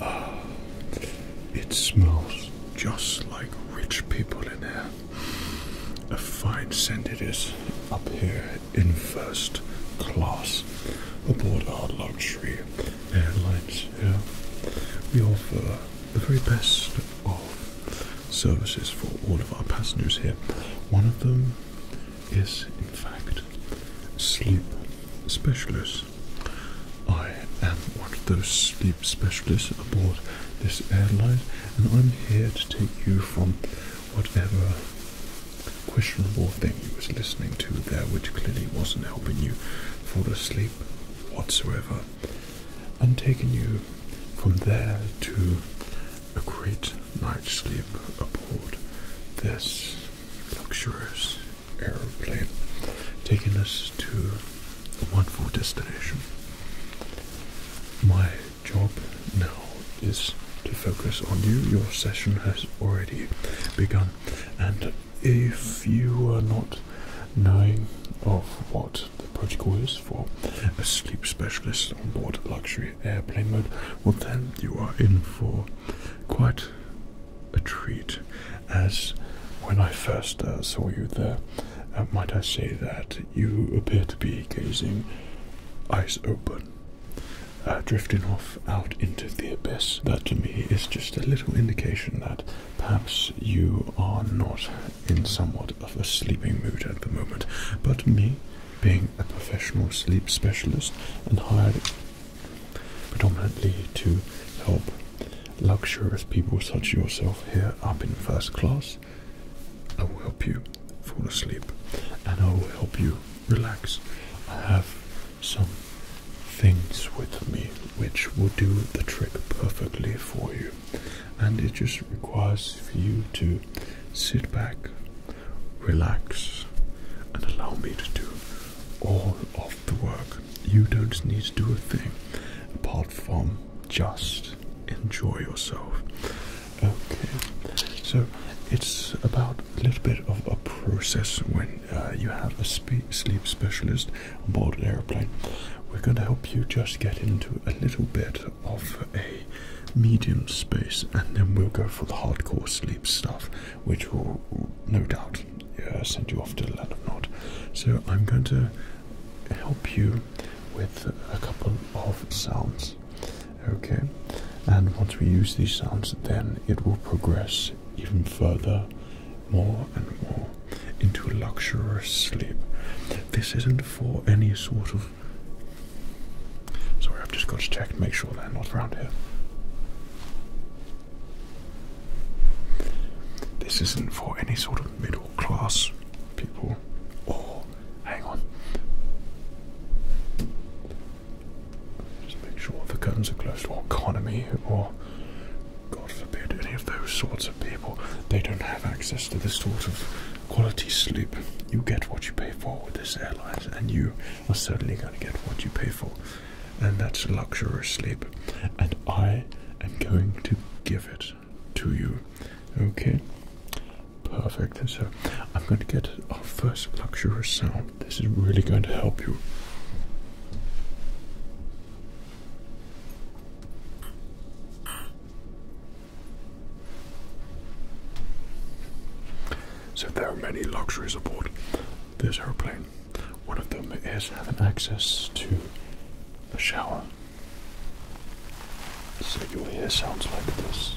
Ah, it smells just like rich people in here. A fine scent it is up here in first class aboard our luxury airlines We offer the very best of services for all of our passengers here. One of them is in fact sleep specialist. I am one of those sleep specialists aboard this airline, and I'm here to take you from whatever questionable thing you was listening to there, which clearly wasn't helping you fall asleep whatsoever, and taking you from there to a great night's sleep aboard this luxurious aeroplane, taking us to a wonderful destination. My job now is to focus on you. Your session has already begun, and if you are not knowing of what the protocol is for a sleep specialist on board luxury airplane mode, well then you are in for quite a treat. As when I first uh, saw you there, uh, might I say that you appear to be gazing eyes open, uh, drifting off out into the abyss. That to me is just a little indication that perhaps you are not in somewhat of a sleeping mood at the moment, but me being a professional sleep specialist and hired predominantly to help luxurious people such as yourself here up in first class. I will help you fall asleep and I will help you relax. I have some things with me which will do the trick perfectly for you, and it just requires for you to sit back, relax, and allow me to do all of the work. You don't need to do a thing apart from just enjoy yourself. Okay, so it's about a little bit of a process when uh, you have a sleep specialist on board an airplane. We're going to help you just get into a little bit of a medium space, and then we'll go for the hardcore sleep stuff, which will no doubt uh, send you off to land of Nod. So I'm going to help you with a couple of sounds, okay? And once we use these sounds, then it will progress even further, more and more, into luxurious sleep. This isn't for any sort of Sorry, I've just got to check and make sure they're not around here. This isn't for any sort of middle class people. Or, hang on. Just make sure the curtains are closed, or economy, or God forbid, any of those sorts of people. They don't have access to this sort of quality sleep. You get what you pay for with this airline, and you are certainly going to get what you pay for, and that's luxurious sleep. And I am going to give it to you. Okay? Perfect. So I'm going to get our first luxurious sound. This is really going to help you. So there are many luxuries aboard this airplane. One of them is having access to a shower. So you'll sounds like this.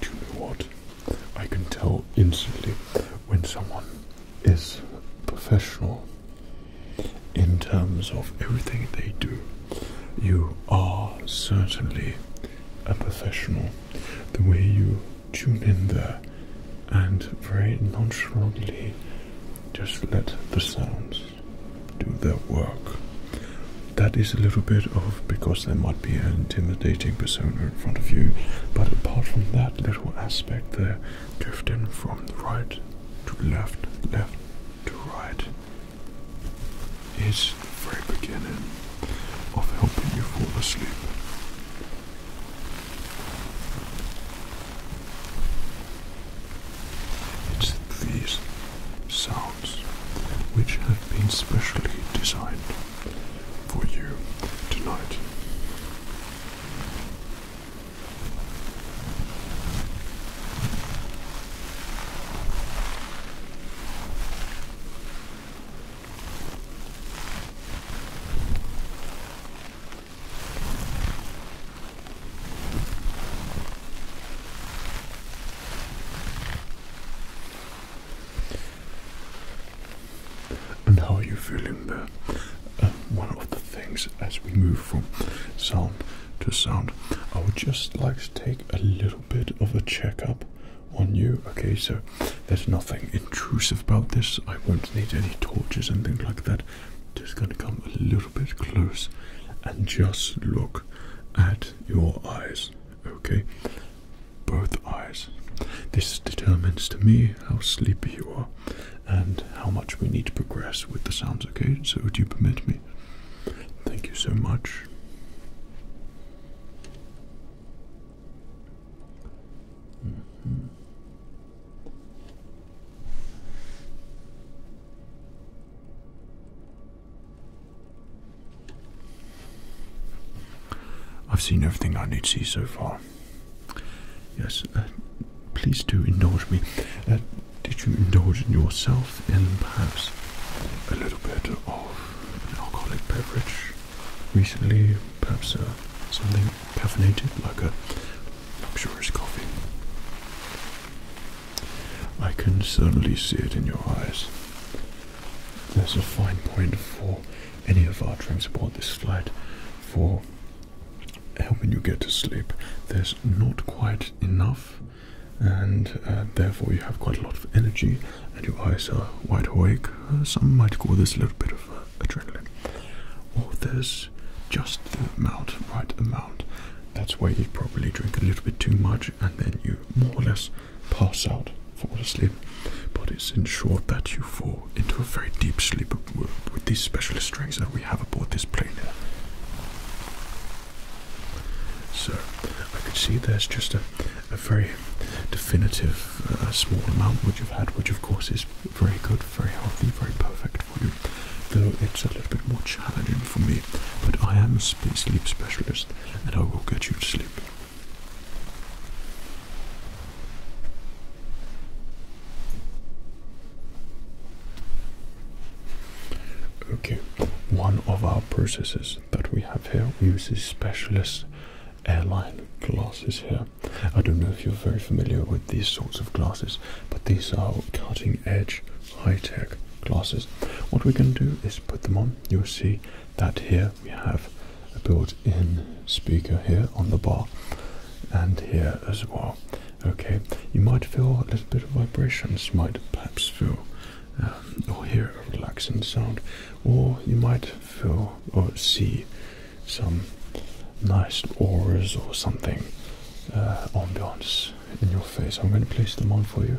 Do you know what? I can tell instantly when someone is professional in terms of everything they do. You are certainly a professional. The way you tune in there and very nonchalantly just let the sounds do their work. That is a little bit of because there might be an intimidating persona in front of you, but apart from that little aspect there, drift in from the right to left, left to right is the very beginning of helping you fall asleep. It's these sounds which have been specially designed for you tonight. And how are you feeling there? one of the things as we move from sound to sound. I would just like to take a little bit of a checkup on you. Okay, so there's nothing intrusive about this. I won't need any torches and things like that. Just going to come a little bit close and just look at your eyes. Okay, both eyes. This determines to me how sleepy you are and how much we need to progress with the sounds, okay? So, would you permit me? Thank you so much. Mm-hmm. I've seen everything I need to see so far. Yes, uh, please do indulge me. Uh, did you indulge in yourself in perhaps a little bit of an alcoholic beverage recently? Perhaps uh, something caffeinated, like a luxurious coffee? I can certainly see it in your eyes. There's a fine point for any of our transport this flight for helping you get to sleep. There's not quite enough, and uh, therefore you have quite a lot of energy, and your eyes are wide awake. Uh, some might call this a little bit of uh, adrenaline. Or there's just the amount, right amount. That's why you probably drink a little bit too much, and then you more or less pass out, fall asleep. But it's ensured that you fall into a very deep sleep with these specialist strings that we have aboard this plane here. So I can see there's just a, very definitive uh, small amount which you've had, which of course is very good, very healthy, very perfect for you. Though it's a little bit more challenging for me, but I am a sleep specialist and I will get you to sleep. Okay, one of our processes that we have here uses specialist airline glasses here. I don't know if you're very familiar with these sorts of glasses, but these are cutting edge high tech glasses. What we can do is put them on. You'll see that here we have a built in speaker here on the bar and here as well. Okay, you might feel a little bit of vibrations, might perhaps feel um, or hear a relaxing sound, or you might feel or see some nice auras or something, uh, ambiance in your face. I'm going to place them on for you.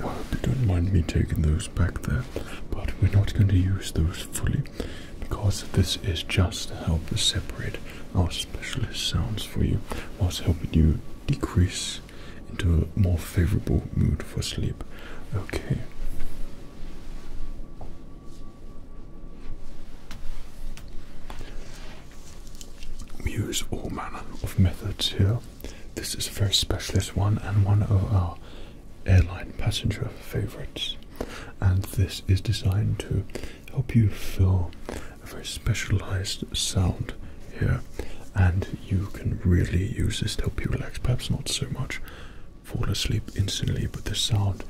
I hope you don't mind me taking those back there, but we're not going to use those fully because this is just to help separate our specialist sounds for you, whilst helping you decrease into a more favorable mood for sleep. Okay. We use all manner of methods here. This is a very specialist one and one of our airline passenger favorites. And this is designed to help you feel a very specialized sound here. And you can really use this to help you relax, perhaps not so much fall asleep instantly, but the sound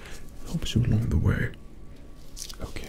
helps you along the way. Okay.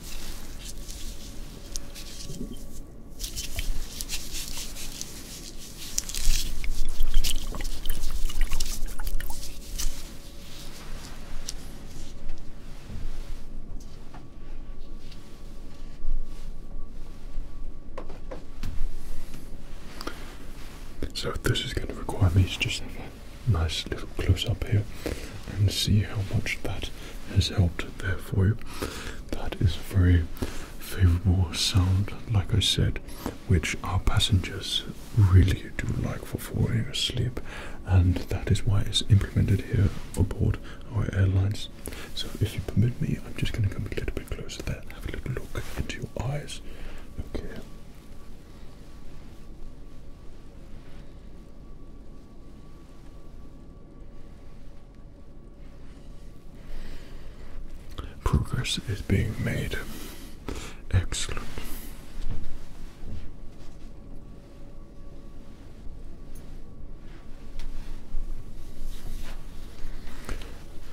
So, this is going to require me to just nice little close up here and see how much that has helped there for you. That is a very favorable sound, like I said, which our passengers really do like for falling asleep, and that is why it's implemented here aboard our airlines. So, if you permit me, I'm just going to come a little bit closer there and have a little look into your eyes. Okay. Progress is being made. Excellent.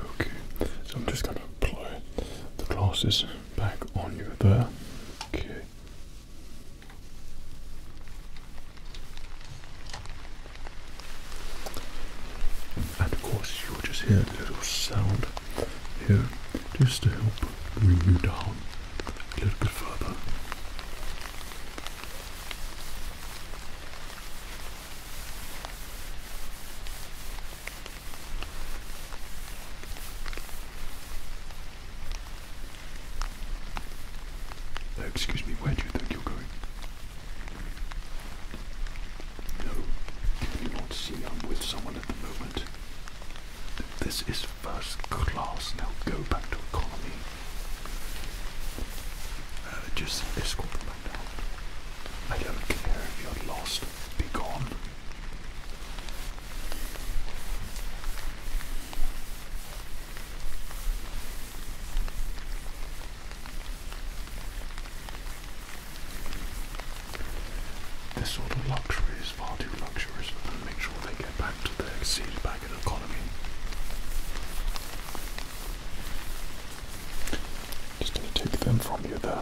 Okay, so I'm just going to apply the glasses back on you there. Okay. And of course, you'll just hear a little sound here just to help bring you down a little bit further excuse me, where do you think you're going? No, you won't see I'm with someone at the moment. This is first class, now go back to economy. just escort them back down. I don't care if you're lost, be gone. This sort of luxury is far too luxurious and make sure they get back to their seed back in economy. Just gonna take them from you there.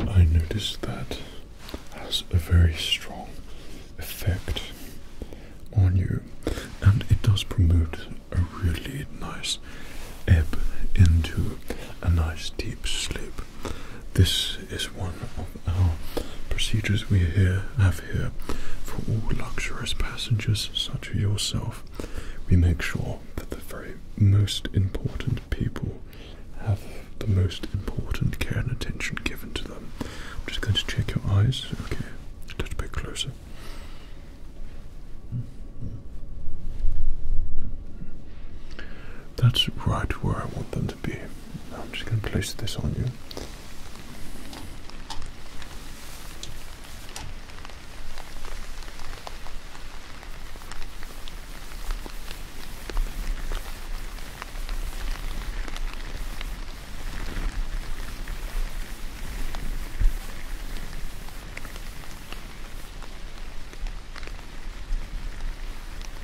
I noticed that has a very strong effect on you, and it does promote a really nice ebb into a nice deep sleep. This is one of our procedures we here have here for all luxurious passengers such as yourself. We make sure that the very most important people have the most important care and attention given to them. I'm just going to check your eyes. Okay, a little bit closer. That's right where I want them I'm just going to place this on you.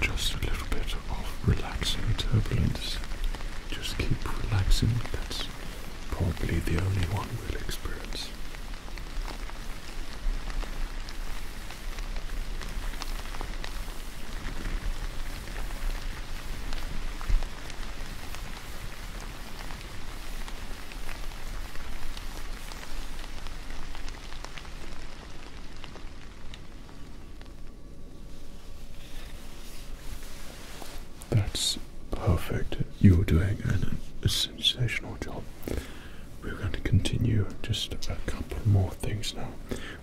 just a little bit of relaxing turbulence. Just keep relaxing, that's probably the only one we'll experience. That's perfect. You're doing an, a sensational job. We're going to continue just a couple more things now,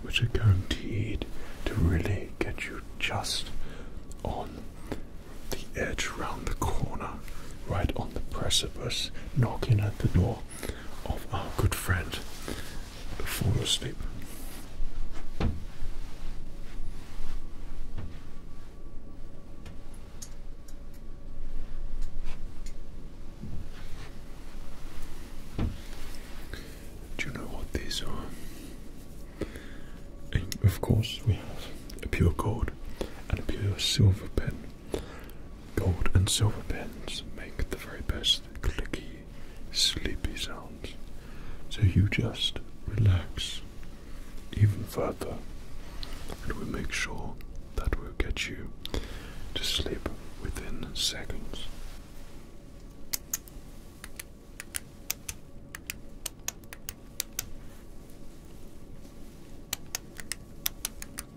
which are guaranteed to really get you just on the edge round the corner, right on the precipice, knocking at the door of our good friend falling asleep. Do you know what these are? of course, we have a pure gold and a pure silver pen. Gold and silver pens make the very best clicky, sleepy sounds. So you just relax even further, and we make sure that will get you to sleep within seconds.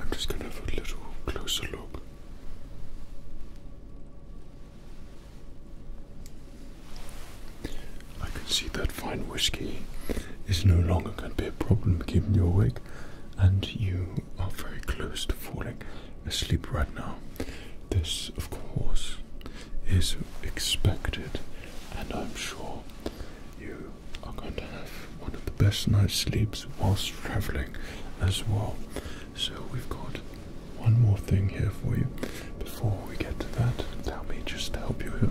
I'm just going to have a little closer look. I can see that fine whiskey is no longer going to be a problem keeping you awake, and you you are very close to falling asleep right now. This, of course, is expected, and I'm sure you are going to have one of the best night's sleeps whilst traveling as well. So, we've got one more thing here for you before we get to that. Tell me just to help you here.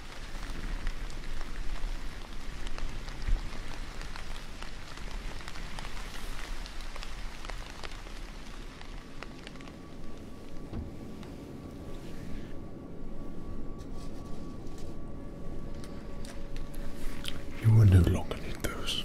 You will no longer need those.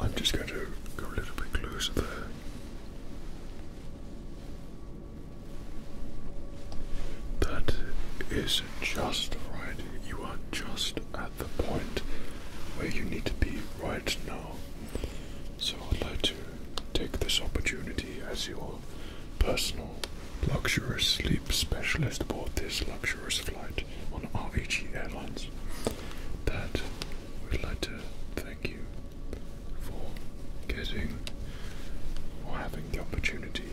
I'm just going to go a little bit closer there. That is just right. You are just at the point where you need to be right now. So I'd like to take this opportunity as your personal luxurious sleep specialist aboard this luxurious flight on RVG Airlines that we'd like to thank you for getting or having the opportunity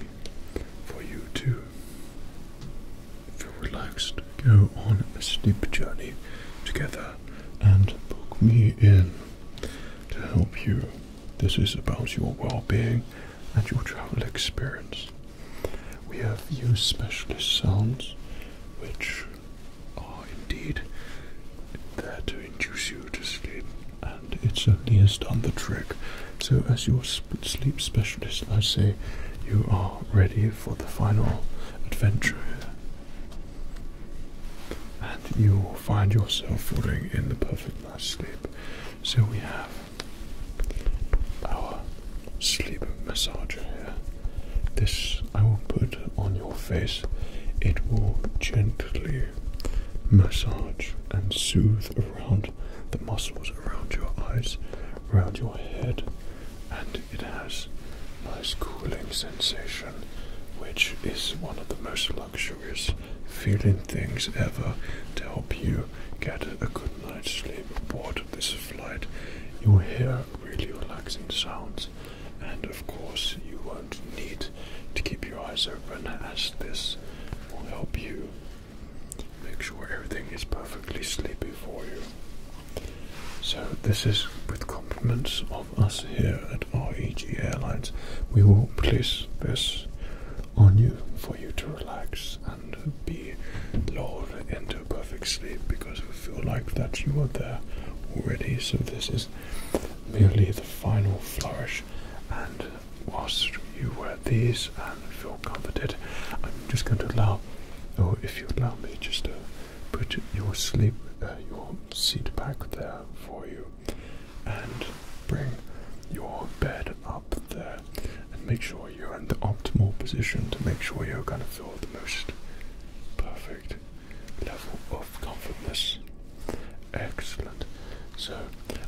for you to feel relaxed, go on a sleep journey together and book me in to help you. This is about your well being and your travel experience. We have used specialist sounds which are indeed there to induce you to sleep, and it certainly has done the trick. So, as your sleep specialist, I say you are ready for the final adventure And you'll find yourself falling in the perfect night's sleep. So we have our sleep massager here. This I will put on your face. It will gently massage and soothe around the muscles around your eyes around your head, and it has nice cooling sensation, which is one of the most luxurious feeling things ever to help you get a good night's sleep aboard this flight. You will hear really relaxing sounds, and of course, you won't need to keep your eyes open as this will help you Make sure everything is perfectly sleepy for you. So, this is with compliments of us here at REG Airlines. We will place this on you for you to relax and be lulled into a perfect sleep because we feel like that you are there already. So, this is merely the final flourish. And whilst you wear these and feel comforted, I'm just going to allow well. Or oh, if you would allow me just to put your sleep, uh, your seat back there for you, and bring your bed up there, and make sure you're in the optimal position to make sure you're going to feel the most perfect level of comfortness. Excellent. So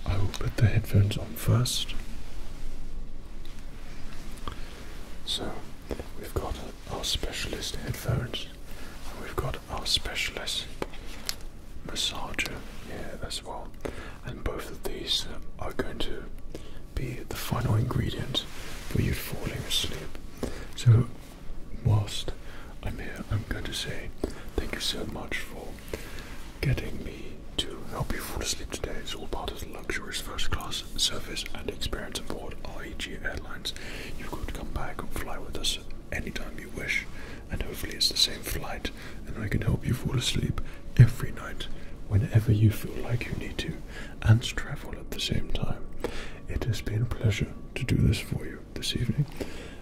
I will put the headphones on first. So we've got our specialist headphones, and we've got our specialist massager here as well, and both of these uh, are going to be the final ingredient for you falling asleep. So whilst I'm here, I'm going to say thank you so much for Getting me to help you fall asleep today is all part of the luxurious first class service and experience aboard REG Airlines. You could come back and fly with us anytime you wish, and hopefully it's the same flight, and I can help you fall asleep every night whenever you feel like you need to, and travel at the same time. It has been a pleasure to do this for you this evening,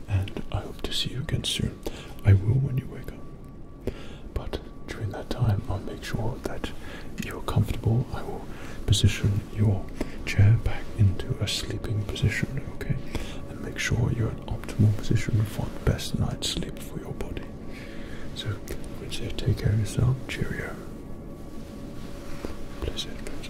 and I hope to see you again soon. I will when you wake up. But during that time, I'll make sure that you're comfortable. I will position your chair back into a sleeping position, okay? And make sure you're in optimal position for the best night's sleep for your body. So, I would take care of yourself. Cheerio. Place headphones